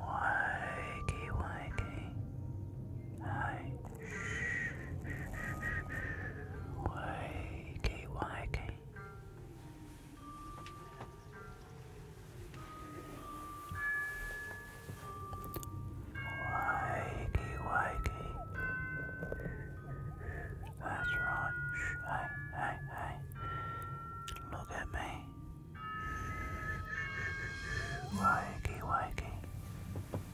Wakey, wakey. Hi. Wakey. K Y K. Y K Y K. That's right. hey, hey, hey. Look at me. Y K Y K.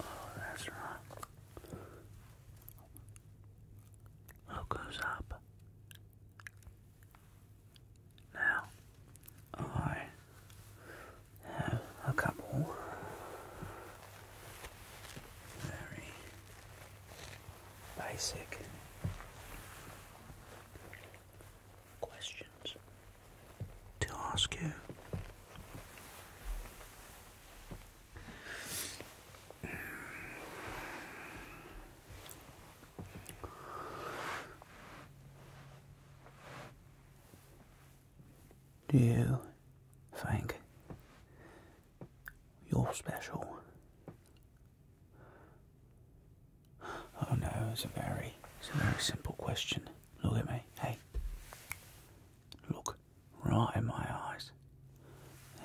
Oh, that's right. What goes up? Now, I have a couple very basic questions to ask you. Do you think you're special? Oh no, it's a very it's a very simple question. Look at me. Hey. Look right in my eyes.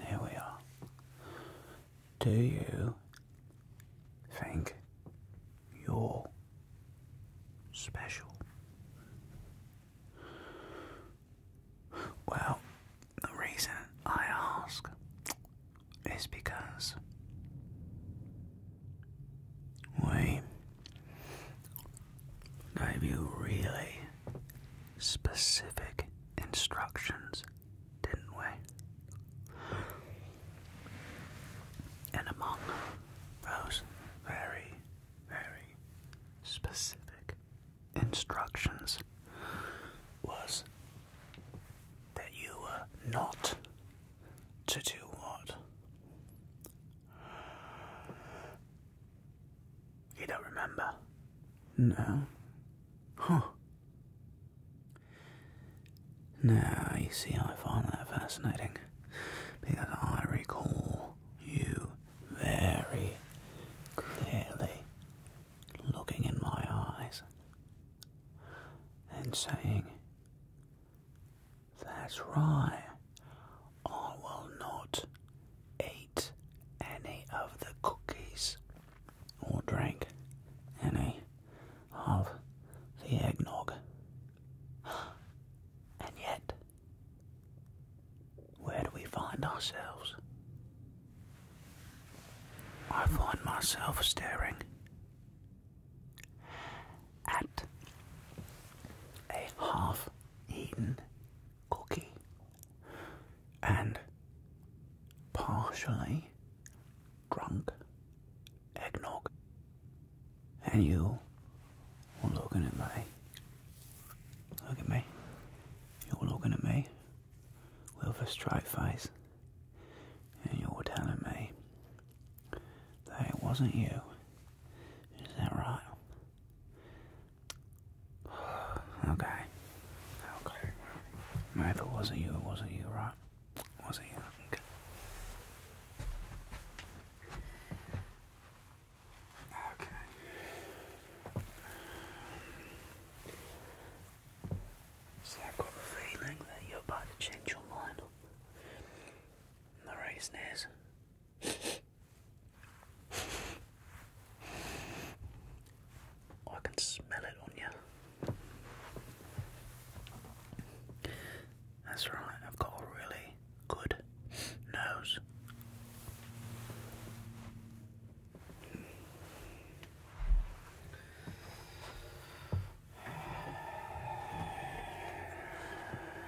Here we are. Do you think you're special? Well, the reason I ask is because we gave you really specific instructions, didn't we? And among those very, very specific instructions was that you were not to do what? You don't remember? No. Huh. Now, you see, I find that fascinating because I recall you very clearly looking in my eyes and saying, that's right. I will not eat any of the cookies or drink any of the eggnog. And yet, where do we find ourselves? I find myself staring Add a half eaten cookie and partially drunk eggnog, and you are looking at me. Look at me. You're looking at me with a straight face, and you're telling me that it wasn't you. Is that right? Okay. Okay. No, it wasn't you, it wasn't you, right? It wasn't you. Okay. Okay. So I've got a feeling that you're about to change your mind. The reason is I can smell it on you. That's right, I've got a really good nose.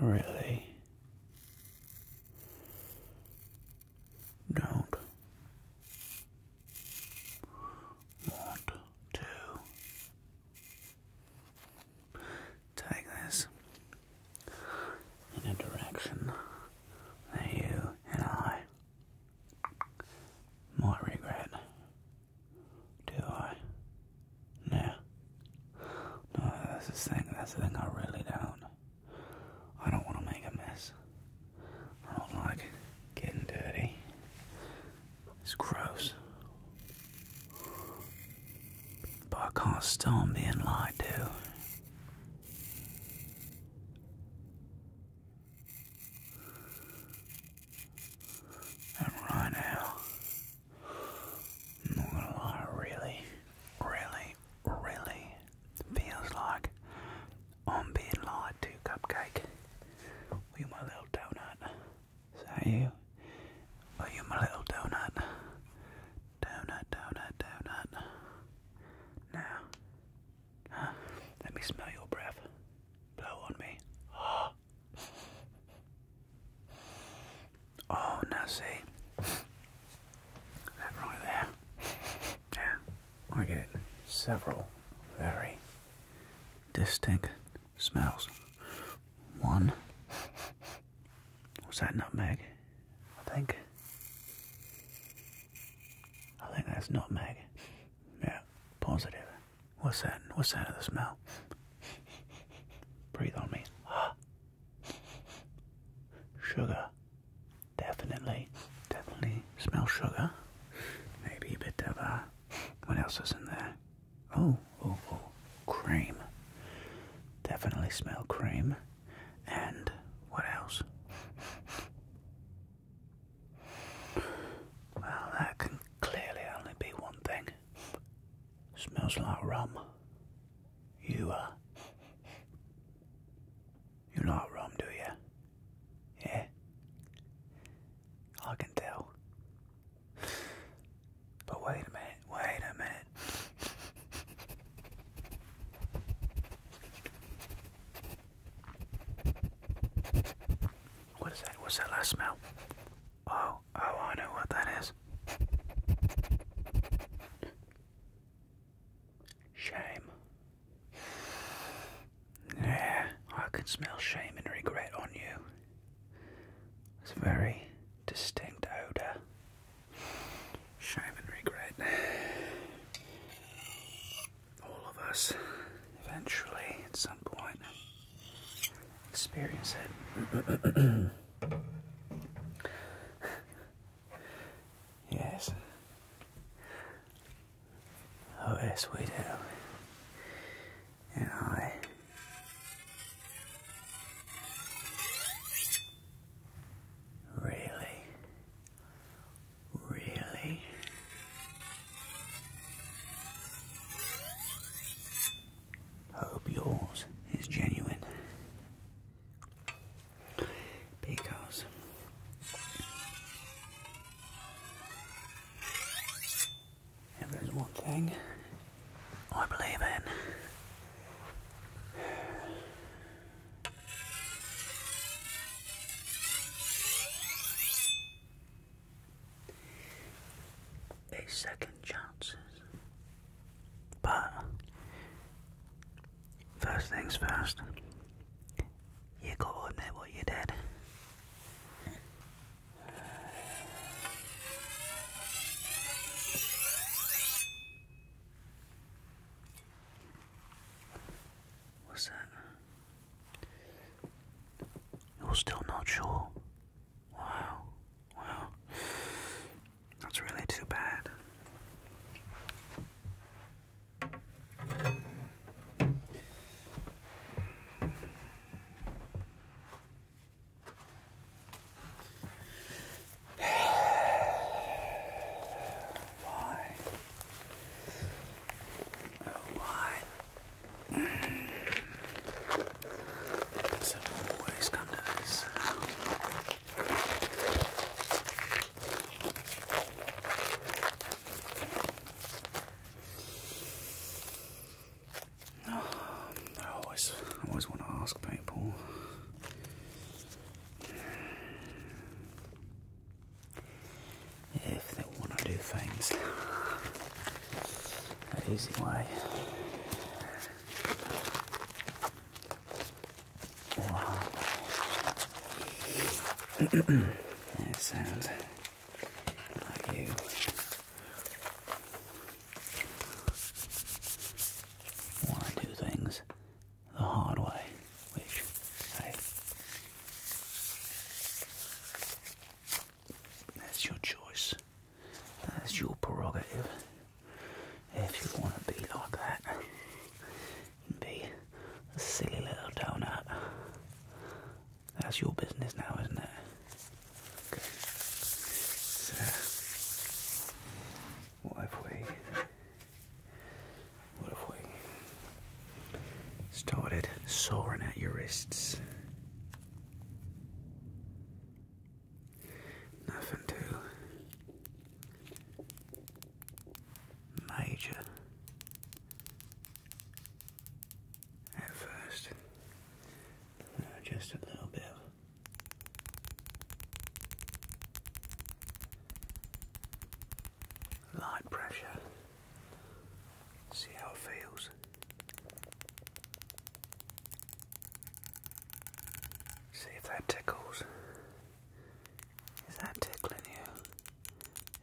I really don't want to take this in a direction that you and I might regret. Do I? No. No, that's the thing. That's the thing. I really don't. I don't want to make a mess. I don't like getting dirty. It's gross. But I can't stand being lied to. And right now, I'm not really, really, really feels like I'm being lied to, Cupcake. you my little donut? Is you? Are you my little donut? Donut, donut, donut. Now, let me smell your breath. Blow on me. Oh, now see that right there. Yeah, I get several very distinct smells. One was that nutmeg? I think. I think that's nutmeg. Yeah, positive. What's that? What's that of the smell? Breathe on me. Sugar. Definitely. Definitely smell sugar. Maybe a bit of, uh, what else is in there? Oh, oh, oh. Cream. Definitely smell cream. And what else? Well, that can clearly only be one thing. Smells like rum. You, uh. You like rum, do you? Yeah? I can tell. But wait a minute, wait a minute. What is that? What's that last smell? Oh. Oh, oh, I know what that is. Shame. Yeah, I can smell shame and regret on you. It's a very distinct odour. Shame and regret. All of us, eventually, at some point experience it. yes. Oh, yes, we do. And I. Really? Really? Hope yours is genuine. Because there's one thing I believe in, a second chances. But first things first, you gotta admit what you did. What's that? You're still not sure Wow. Wow. That's really too bad. why? Oh, why? I always, always want to ask people. If want to do things the easy way or hard way. Want to do things the hard way, which hey, that's your choice. That's your prerogative. If you want to be like that, be a silly little donut. That's your business now, isn't it? what have we? What have we? Started sawing at your wrists. Nothing too major at first, just a little bit of light pressure See how it feels. See if that tickles. Is that tickling you?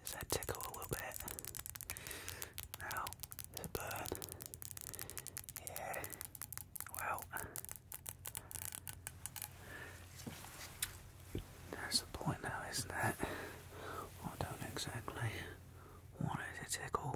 Is that tickle a little bit? No, it's a bird. Yeah. Well, that's the point now, isn't it? I don't exactly what is a tickle?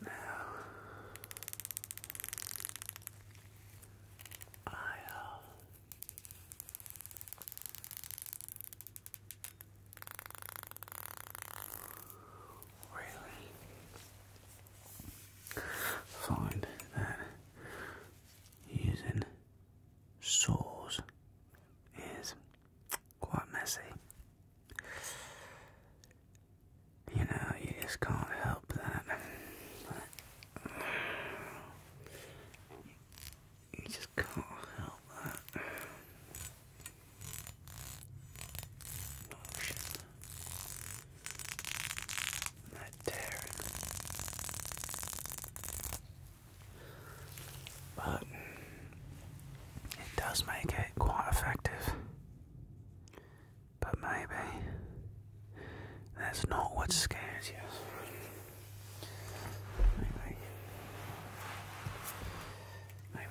Now, I really find that using saws is quite messy. You know, you just can't help that. You just can't help that. Oh shit. But it does make it quite effective. But maybe that's not what scares you. Maybe.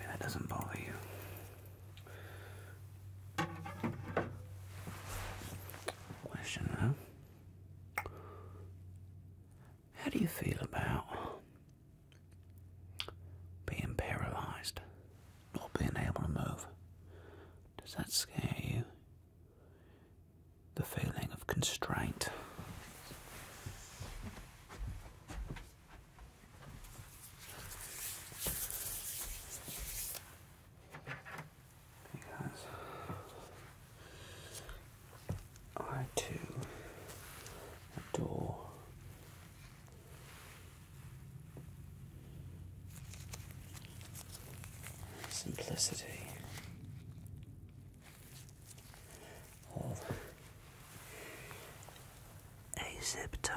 that doesn't bother you. Question though how do you feel about being paralysed? Not being able to move? Does that scare you? The feeling of constraint? because I too adore simplicity a zip tie.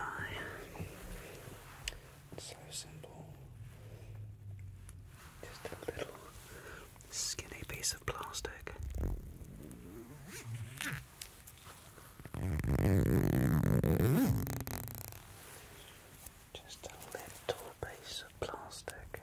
so simple. Just a little skinny piece of plastic. Just a little piece of plastic.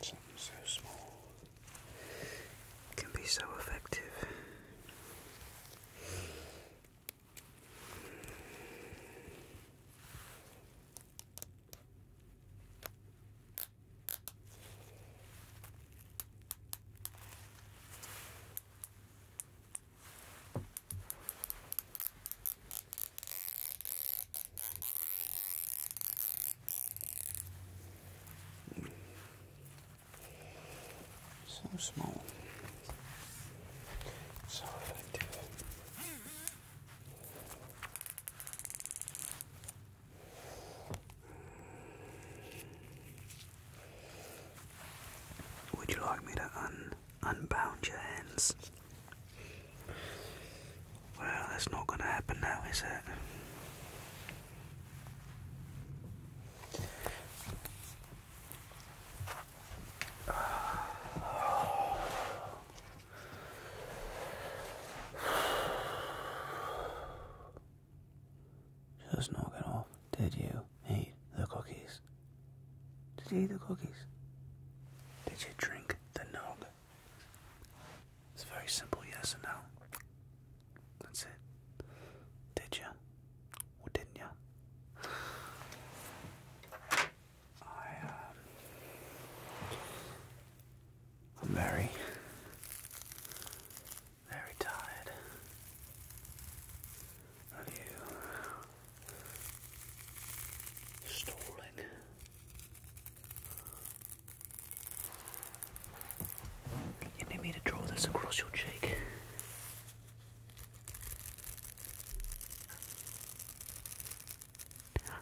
Something so small can be so effective. So small. So effective. Would you like me to un unbound your hands? Well, that's not going to happen now, is it? Just knock it off. Did you eat the cookies? Did you eat the cookies? Did you drink the nog? It's very simple yes and no. That's it. Did you Or didn't ya? I um, I'm very, very tired of you stalling. You need me to draw this across your cheek.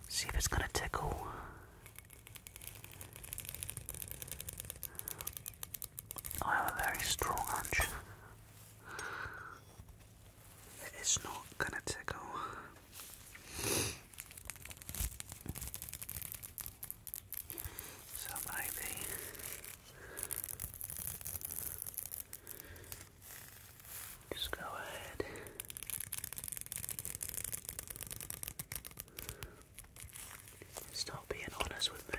See if it's gonna tickle. I have a very strong hunch. It's not gonna tickle. So maybe just go ahead stop being honest with me.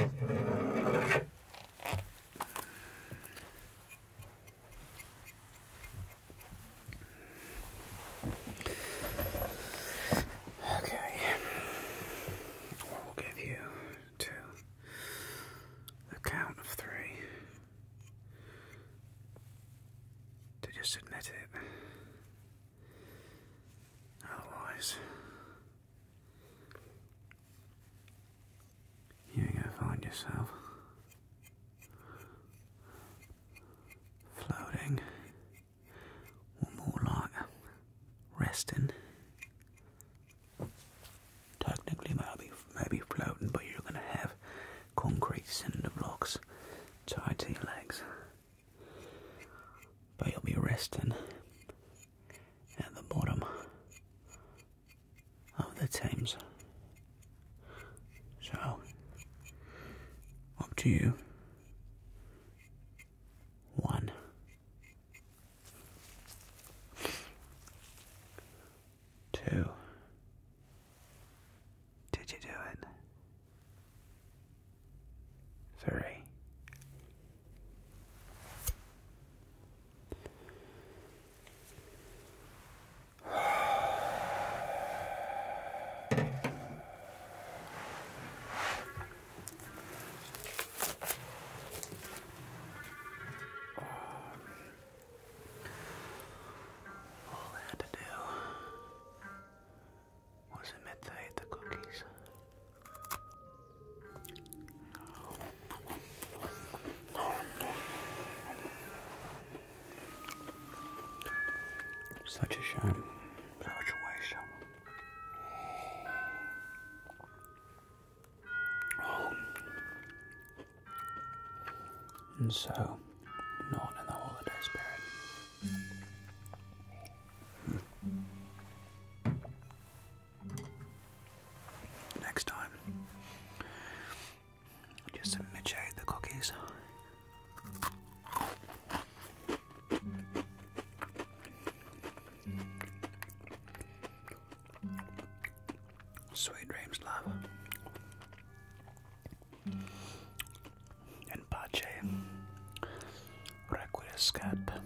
Okay. Well, will give you two. A count of three to just admit it. Otherwise, you're gonna find yourself floating, or more like resting. Technically, maybe maybe floating, but you're gonna have concrete cinder blocks tied to your legs but you'll be resting at the bottom of the Thames. So, up to you. One. Two. Did you do it? Three. All I had to do was it meant to hate the cookies? Such a shame. Such a waste. Oh. And so not in the holiday spirit. Next time, just submit the cookies. Sweet dreams, love. And In pace, requiescat.